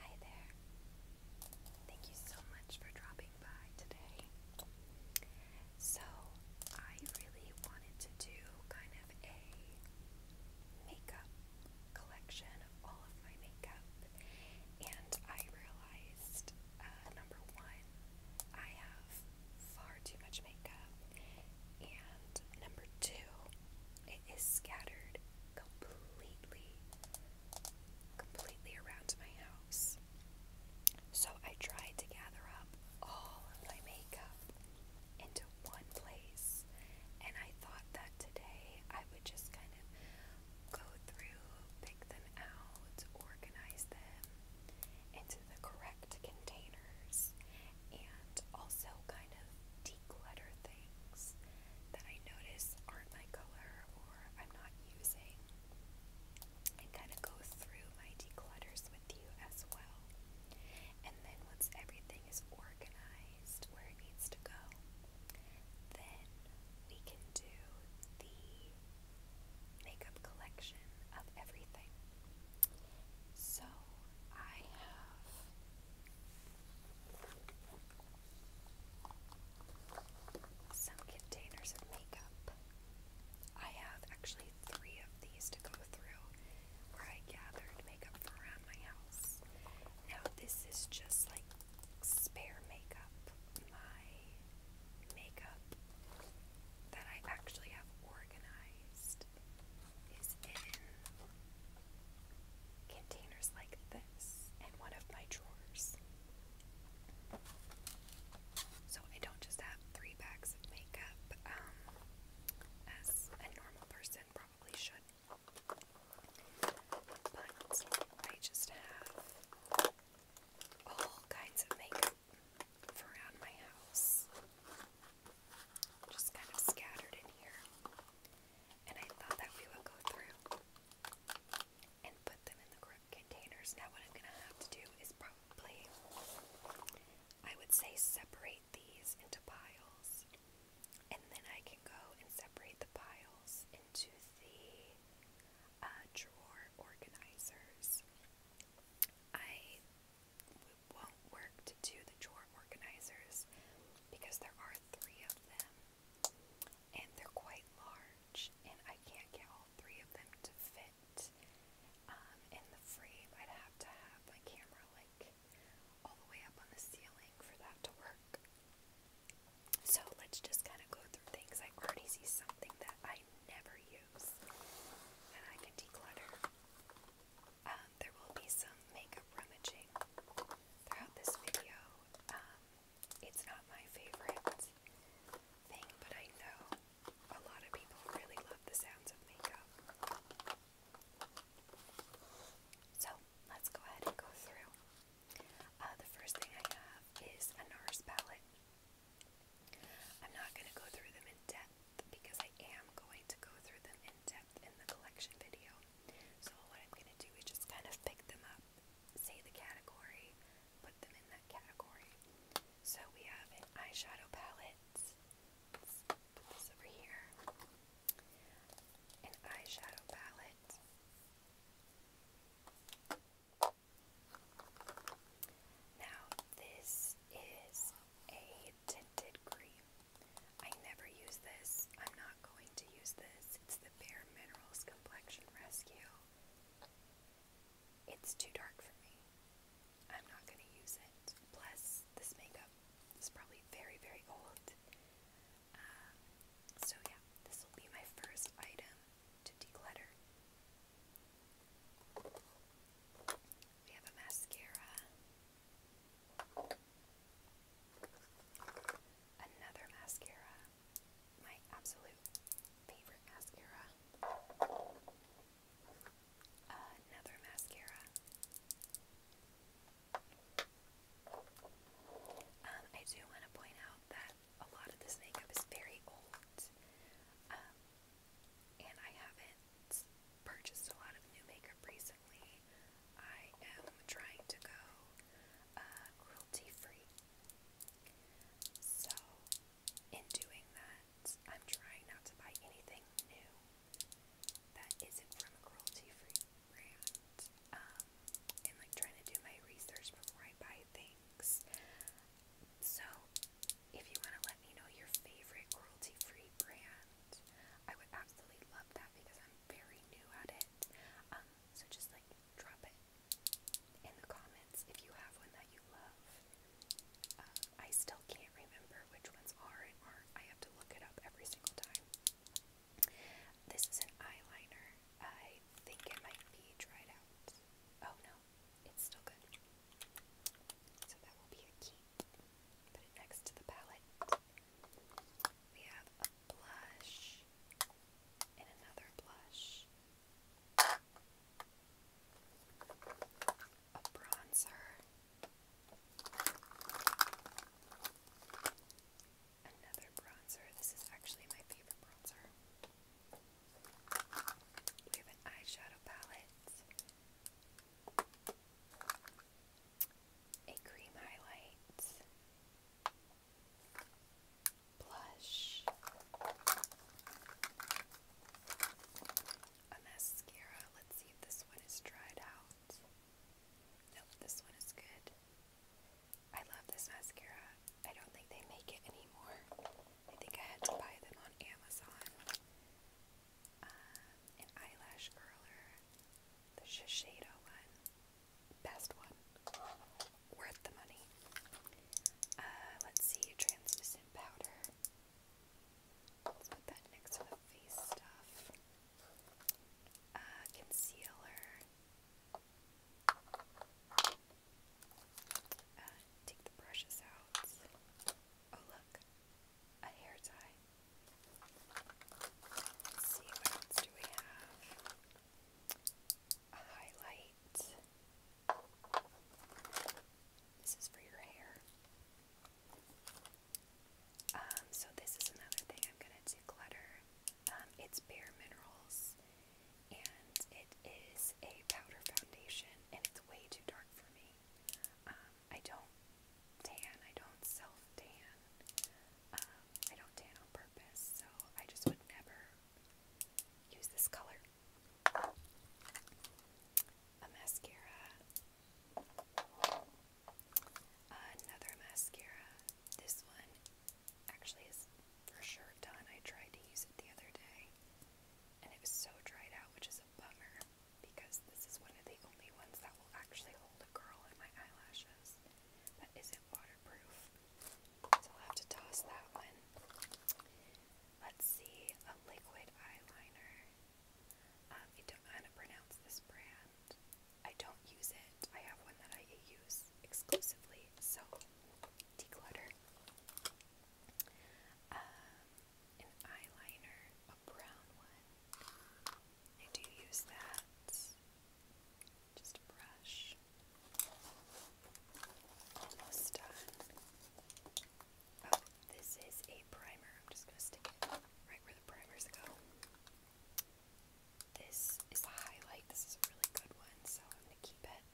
Hi there. Thank you so much for dropping by today. So, I really wanted to do kind of a makeup collection of all of my makeup, and I realized uh, number one, I have far too much makeup, and number two, it is scattered completely, completely around my house. So I tried to gather up all of my makeup into one place, and I thought that today I would just kind of go through, pick them out, organize them into the correct containers, and also kind of declutter things that I notice aren't my color or I'm not using, and kind of go through my declutters with you as well. And then once everything is organized where it needs to go, then we can do the makeup collection of everything. So I have some containers of makeup. I have actually three of these to go through where I gathered makeup around my house. Now, this is just like spare makeup, my makeup that I actually have organized is in containers like this in one of my drawers. So I don't just have three bags of makeup um, as a normal person probably should. But I just have all kinds of makeup around my house just kind of scattered in here. And I thought that we would go through and put them in the correct containers. Now, what I'm going to have to do is probably, I would say, separate these into piles. And then I can go and separate the piles into the uh, drawer organizers. I won't work to do the chore organizers because there are three of them and they're quite large and I can't get all three of them to fit um, in the frame. I'd have to have my camera like all the way up on the ceiling for that to work. So let's just kind of go through things. I already see something that I never use that I can declutter. Um, there will be some makeup rummaging throughout this video. Um, it's not my favorite thing, but I know a lot of people really love the sounds of makeup. So let's go ahead and go through. Uh, the first thing I have is a NARS palette. I'm not going to go through them in depth because I am going to go through them in depth in the collection video. So what I'm going to do is just kind of pick them up, say the category, put them in that category. So we have an eyeshadow palette. put this over here. An eyeshadow palette. Now, this is a tinted cream. I never use this. I'm not going to use this. It's the Bare Minerals Complexion Rescue. It's too dark for me. I'm not going to use it. Plus, this makeup is probably very, very old. Um, so, yeah, this will be my first item to declutter. We have a mascara. Another mascara. My absolute favorite mascara. Another mascara. Um, I do want to point out that a lot of this makeup is very old. Um, and I haven't purchased a lot of new makeup recently. I am trying to go uh, cruelty free. So, in doing that, I'm trying not to buy anything new that isn't from a cruelty free brand. Um, and like trying to do my research before I buy things. So, if you want to let me know your favorite cruelty free brand, I would absolutely love that because I'm very new at it. Um, so just like drop it in the comments if you have one that you love. Um, I still can't remember which ones are and aren't. I have to look it up every single time. This is an eyeliner. I think it might be dried out. Oh no, it's still good. So that will be a key. Put it next to the palette. We have a blush and another blush. A bronzer. Another bronzer. This is actually my favorite bronzer. We have an eyeshadow palette, a cream highlight, blush, a mascara. Let's see if this one is dried out. Nope, this one is good. I love this mascara. I don't think they make it anymore. I think I had to buy them on Amazon. Uh, an eyelash curler, the Shiseido one, best one, worth the money. Uh, let's see, translucent powder. Let's put that next to the face stuff. Uh, concealer. Uh, take the brushes out. Oh, look, a hair tie. see, what else do we have? A highlight. This is for your hair. Um, so this is another thing I'm gonna declutter. Um, it's Bare Minerals and it is a powder foundation, and it's way too dark for me. Um, I don't tan, I don't self tan, um, I don't tan on purpose, so I just would never use this color. A mascara, another mascara. This one actually is for sure done. I tried to use it the other day and it was so dried out, which is a bummer because this is one of the only ones that will actually hold a curl in my eyelashes that isn't waterproof. So I'll have to toss that one. Let's see, a liquid eyeliner. Um, I don't know how to pronounce this brand. I don't use it. I have one that I use exclusively, so declutter, um, an eyeliner, a brown one. I do use that. Just a brush. Almost done. Oh, this is a primer. I'm just going to stick it right where the primers go. This is a highlight. This is a really good one, so I'm going to keep it.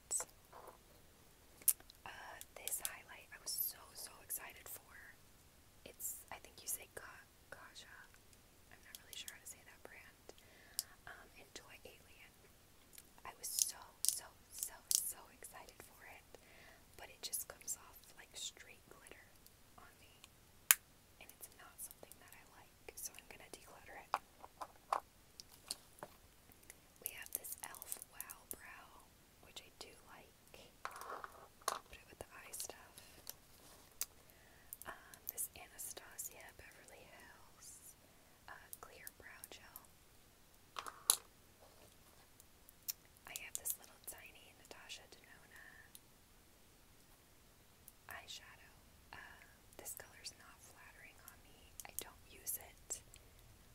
Uh, this highlight I was so so excited for. It's I think you say Kaja. I'm not really sure how to say that brand. Um, Alien. I was so so so so excited for it, but it just comes off like straight glitter on me, and it's not something that I like. So I'm gonna declutter it. We have this elf Wow Brow, which I do like. Put it with the eye stuff. Um, this Anastasia Beverly Hills uh, Clear Brow Gel. I have this little tiny Natasha Denona eyeshadow. Uh, this color's not flattering on me. I don't use it.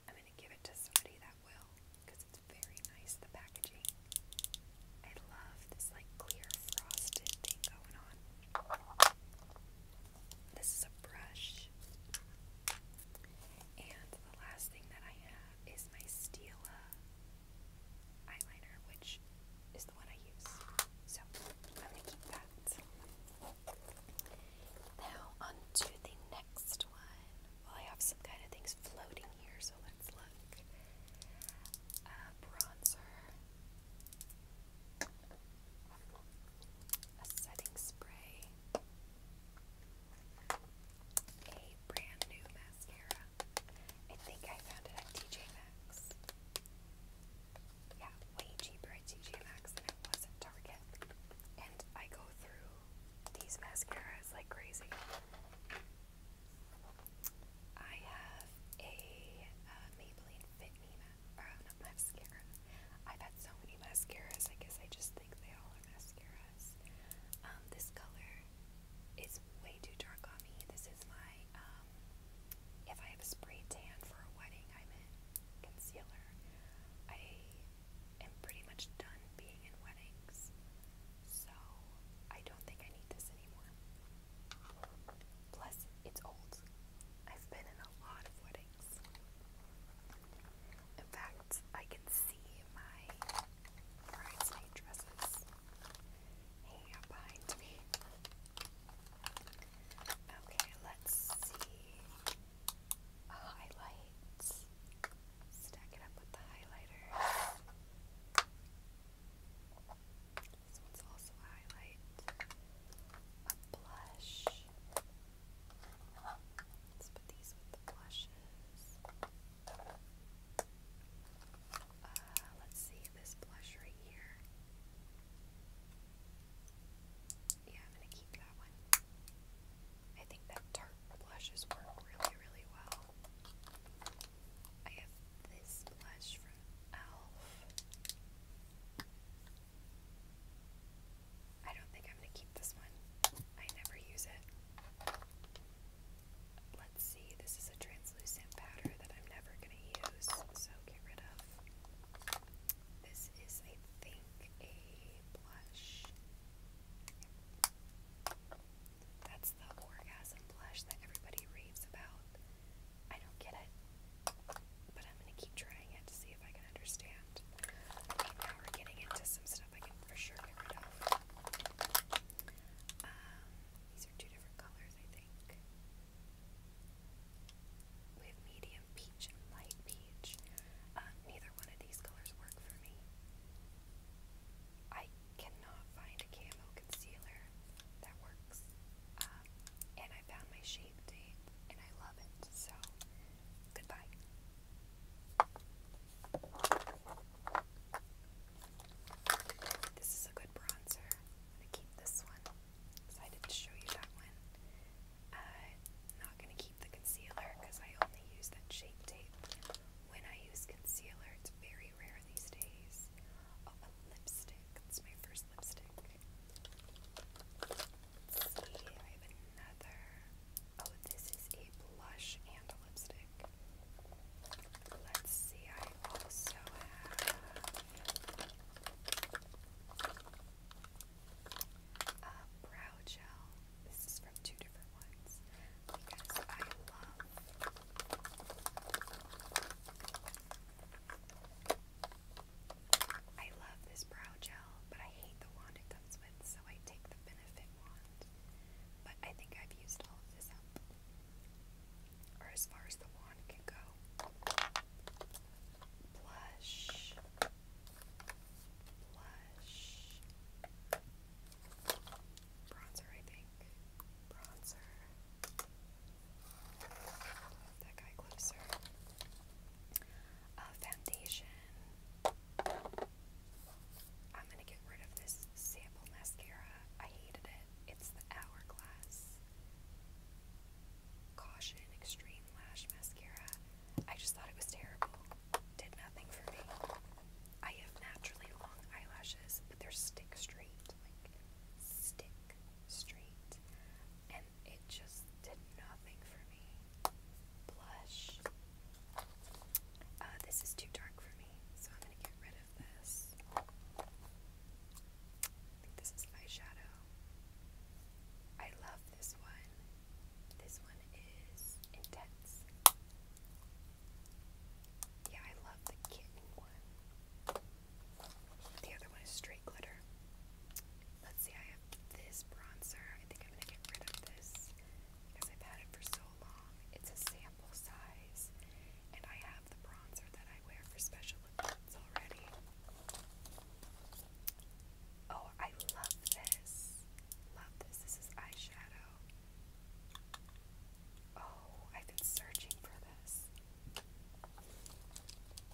I'm going to give it to somebody that will because it's very nice, the packaging. I love this like clear frosted thing going on. This is a brush. And the last thing that I have is my Stila eyeliner, which is the one I use. So I'm keep that. Now, on the next one. Well, I have some kind of things floating here, so let's look. A uh, bronzer, a setting spray, a brand new mascara. I think I found it at TJ Maxx yeah, way cheaper at TJ Maxx than it was at Target. And I go through these mascaras like crazy. I have a uh, Maybelline Fit Me ma or uh, not mascara. I've had so many mascaras. I guess I just think they all are mascaras. Um, this color is way too dark on me. This is my um, if I have a spray tan for a wedding, I'm concealer. I am pretty much done being in weddings, so I don't think I need this anymore. Plus, it's old. I've been in a lot of weddings. In fact, I can see my bridesmaid dresses hanging out behind me. Okay, let's see highlights. Stack it up with the highlighter. This one's also highlight. blush. Let's put these with the blushes. Uh, let's see this blush right here. Yeah, I'm gonna keep that one. I think that tart blushes work really, really well. I have this blush from e.l.f. I don't think I'm gonna keep this one. I never use it. Let's see, this is a translucent powder that I'm never gonna use, so get rid of. This is, I think, a blush. That's the orgasm blush that everybody raves about. I don't get it, but I'm gonna keep trying it to see if I can understand. Okay, now we're getting into some stuff I can for sure get rid of. Um, these are two different colors, I think. We have medium peach and light peach. Uh, neither one of these colors work for me. I cannot find a concealer that works. Uh, and I found my shape tape and I love it. So, goodbye. This is a good bronzer. I'm going to keep this one decided to show you that one. Uh, not going to keep the concealer because I only use that shape tape when I use concealer. It's very rare these days. Oh, a lipstick. It's my first lipstick. Let's see, I have another. Oh, this is a blush and a lipstick. Let's see, I also have brow gel. This is from two different ones because I love I love this brow gel, but I hate the wand it comes with, so I take the benefit wand. But I think I've used all of this up. Or as far as the wand can go blush, blush, bronzer, I think, bronzer. Move that guy closer. Uh, foundation. I'm gonna get rid of this sample mascara. I hated it. It's the Hourglass. Caution Extreme Lash Mascara. I just thought it was terrible. Did nothing for me. I have naturally long eyelashes, but they're stick straight. Like, stick straight. And it just did nothing for me. Blush. Uh, this is too dark for me, so I'm going to get rid of this this is eyeshadow. I love this one. This one is intense. Yeah, I love the kitten one. The other one is straight glitter. Let's see, I have this bronzer. I think I'm gonna get rid of this because I've had it for so long. It's a sample size, and I have the bronzer that I wear for special events already. Oh, I love this. Love this. This is eyeshadow. Oh, I've been searching for this.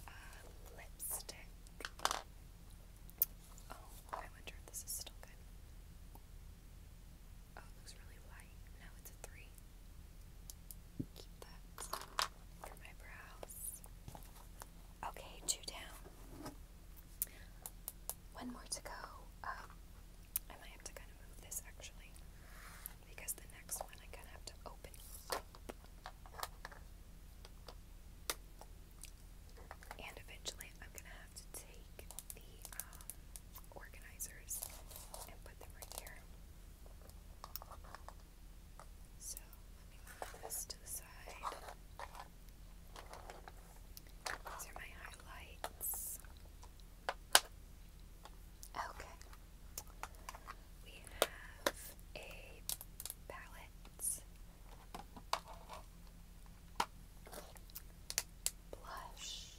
Uh, lipstick. Oh, I wonder if this is still good. Oh, it looks really light. No, it's a three. Okay, two down. One more to go. Um, I might have to kind of move this actually, because the next one I kind of have to open And eventually, I'm gonna have to take the um, organizers and put them right here. So let me move this to the side. These are my highlights. Okay. We have a palette. Blush.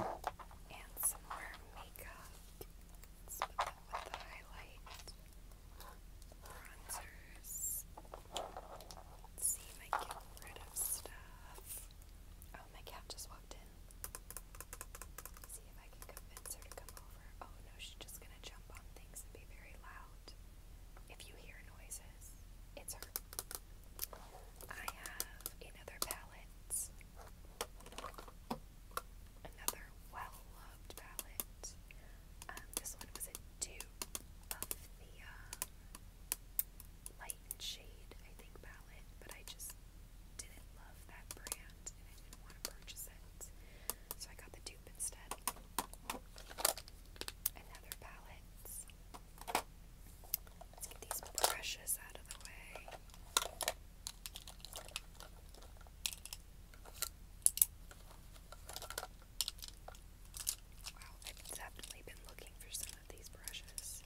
And some more makeup. Let's put that with the highlight. Bronzers. Let's see if I get rid of stuff. Oh, my cat just walked in. Is if I can convince her to come over. Oh no, she's just gonna jump on things and be very loud. If you hear noises, it's her. I have another palette. Another well-loved palette. Um, this one was a dupe of the uh, light shade, I think, palette, but I just didn't love that brand and I So I got the dupe instead. Another palette. Let's get these brushes out of the way. Wow, I've definitely been looking for some of these brushes.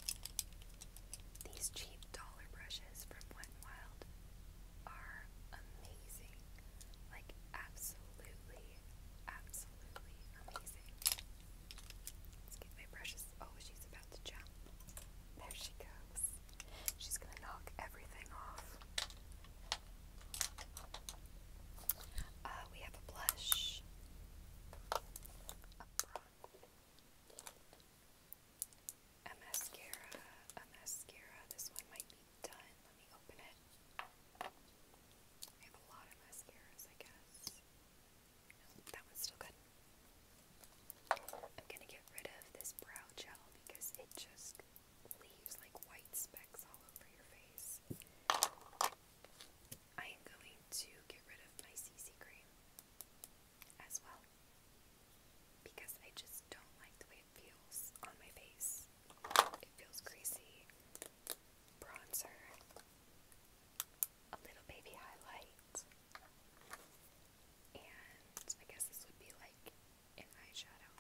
These cheap dollar brushes from Wet n Wild are amazing. Like, absolutely, absolutely amazing. Let's get my brushes. Oh, she's about to jump. There she goes. She's gonna knock everything off. Uh, we have a blush, a mascara, a mascara. This one might be done. Let me open it. I have a lot of mascaras, I guess. that one's still good. I'm gonna get rid of this brow gel because it just leaves like white specks all over your face. I am going to get rid of my CC cream as well because I just don't like the way it feels on my face. It feels greasy. Bronzer. A little baby highlight. And I guess this would be like an eyeshadow.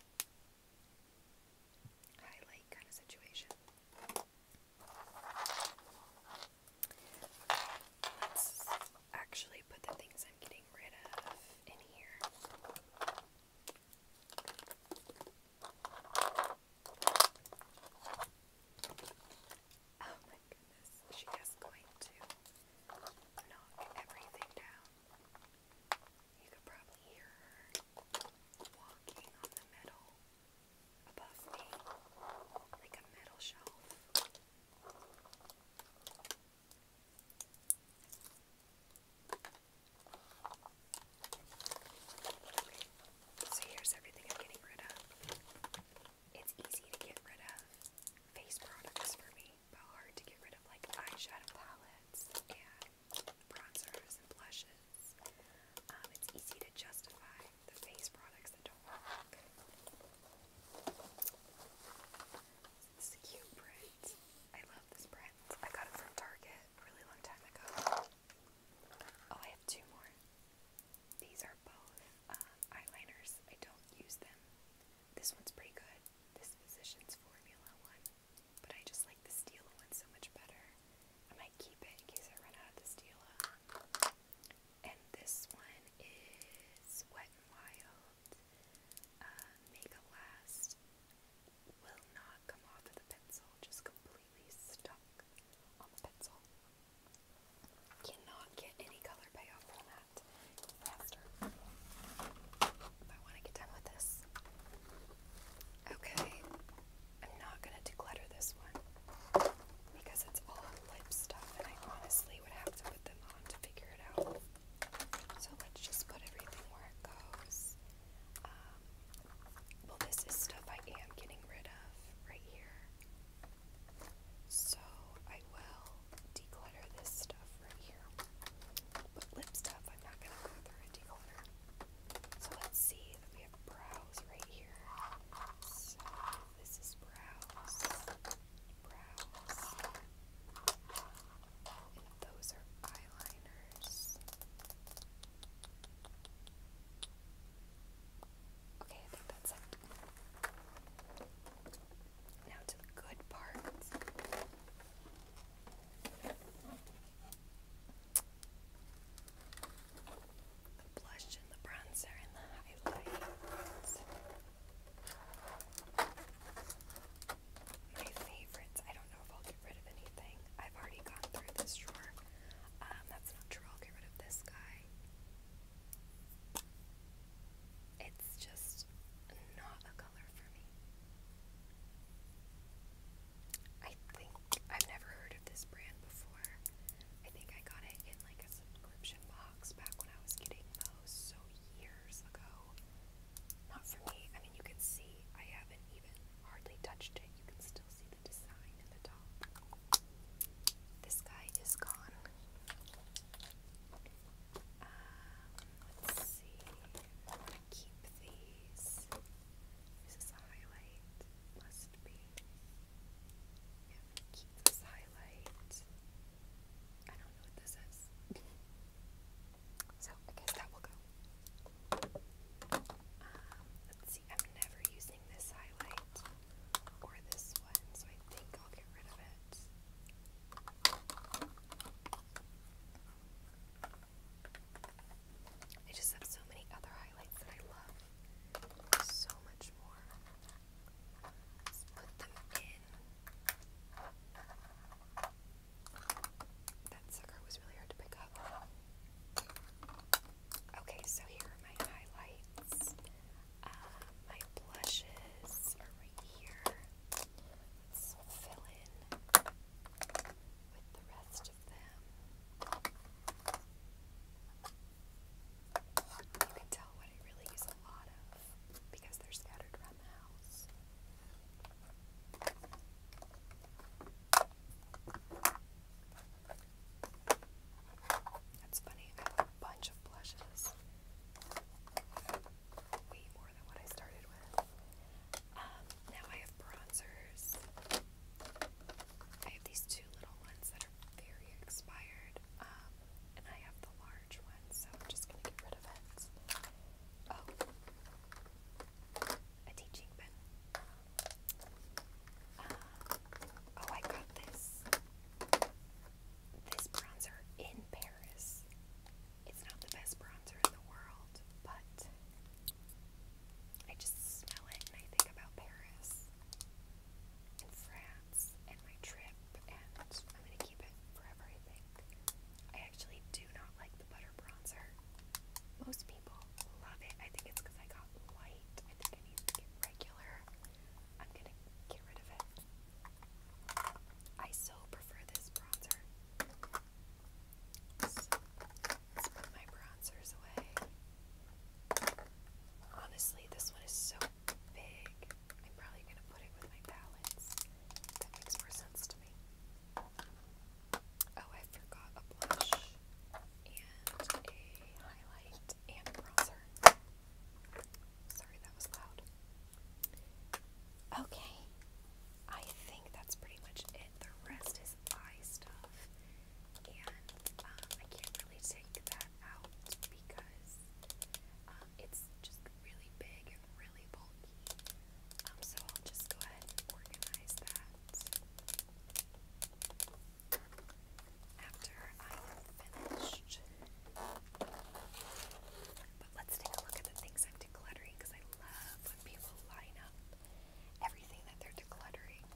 Highlight kind of situation let's actually put the things I'm getting rid of in here. Oh my goodness, she is going to knock everything down. You could probably hear her walking on the metal above me, like a metal shelf. So here's everything I'm getting rid of. It's easy to get rid of face products for me, but hard to get rid of like eyeshadow palettes and bronzers and blushes. Um, it's easy to justify the face products that don't work. This cute print. I love this print. I got it from Target a really long time ago. Oh, I have two more. These are both uh, eyeliners. I don't use them. This one's pretty good. This Physicians Formula one. But I just like the Stila one so much better. I might keep it in case I run out of the Stila. Uh. And this one is Wet n Wild uh, last will not come off of the pencil, just completely stuck on the pencil. Cannot get any color payoff from that faster. I want to get done with this. Okay, I'm not going to declutter this one because it's all lip stuff, and I honestly would have to put them on to figure it out. So let's just put everything where it goes. Um, well, this is stuff I am getting rid of right here. So I will declutter this stuff right here. But lip stuff, I'm not going to go through and declutter. So let's see that we have brows right here. So this is brows brows. And those are eyeliners. Okay, I think that's it. Now to the good parts. The blush and the bronzer and the highlights. My favorites. I don't know if I'll get rid of anything. I've already gone through this drawer. Um, that's not true. I'll get rid of this guy. It's just not a color for me. I think I've never heard of this brand before. I think I got it in like a subscription box back when I was getting those, so years ago. Not for me. I mean, you can see I haven't even hardly touched it. You can still see the design at the top. This guy is gone. Um, let's see. keep these. This is highlight. Must be. Yeah, keep this highlight. I don't know what this is. so I guess that will go. Um, let's see, I'm never using this highlight or this one, so I think I'll get rid of it. I just have so many other highlights that I love so much more. Let's Okay, so here are my highlights. Uh, my blushes are right here. Let's fill in with the rest of them. You can tell what I really use a lot of because they're scattered around the house. That's funny, I have a bunch of blushes. Way more than what I started with. Um, now I have bronzers. I have these two little ones that are very expired. Um, and I have the large one, so I'm just going to get rid of it. Oh, a teaching pen. Uh, oh, I got this. This bronzer in Paris. It's not the best bronzer in the world, but I just smell it and I think about Paris and France and my trip, and I'm gonna keep it forever, I think. I actually do not like the butter bronzer. Most people love it. I think it's because I got light. I think I need regular. I'm gonna get rid of it. I so prefer this bronzer. let's put my bronzers away. Honestly, this one is so big. I'm probably going to put it with my palettes. That makes more sense to me. Oh, I forgot a blush and a highlight and bronzer. Sorry, that was loud. Okay, I think that's pretty much it. The rest is eye stuff and um, I can't really take that out because um, it's just really big and really bulky. Um, so I'll just go ahead and organize that. After I'm finished. But let's take a look at the things I'm decluttering because I love when people line up everything that they're decluttering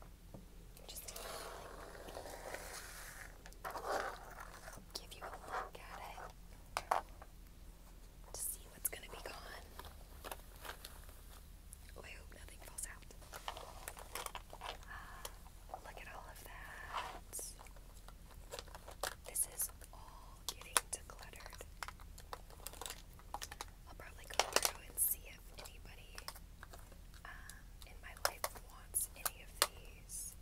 just give you a look at it to see what's going to be gone. Oh, I hope nothing falls out. Ah, look at all of that. This is all getting decluttered. I'll probably go through and see if anybody um, in my life wants any of these.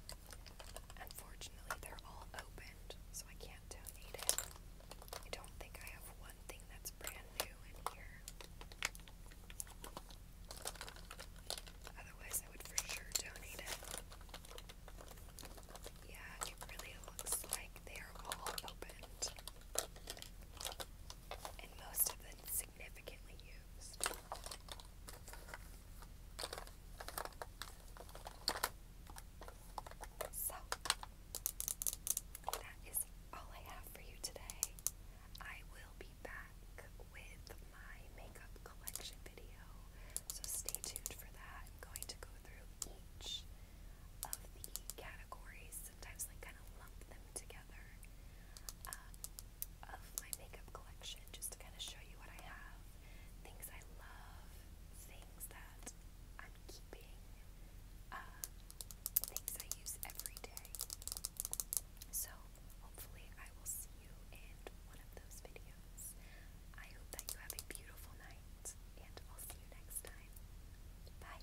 Unfortunately, they're all opened, so I can't donate it. I don't think I have one thing that's brand new in here. Otherwise, I would for sure donate it. Yeah, it really looks like they are all opened. And most of the so, that is all I have for you today. I will be back with my makeup collection video, so stay tuned for that. I'm going to go through each of the categories, sometimes like kind of lump them together um, of my makeup collection just to kind of show you what I have, things I love, things that I'm keeping, um, things I use every day. So hopefully I will see you in one of those videos. I hope that you have a beautiful night and I'll see you next time. Bye.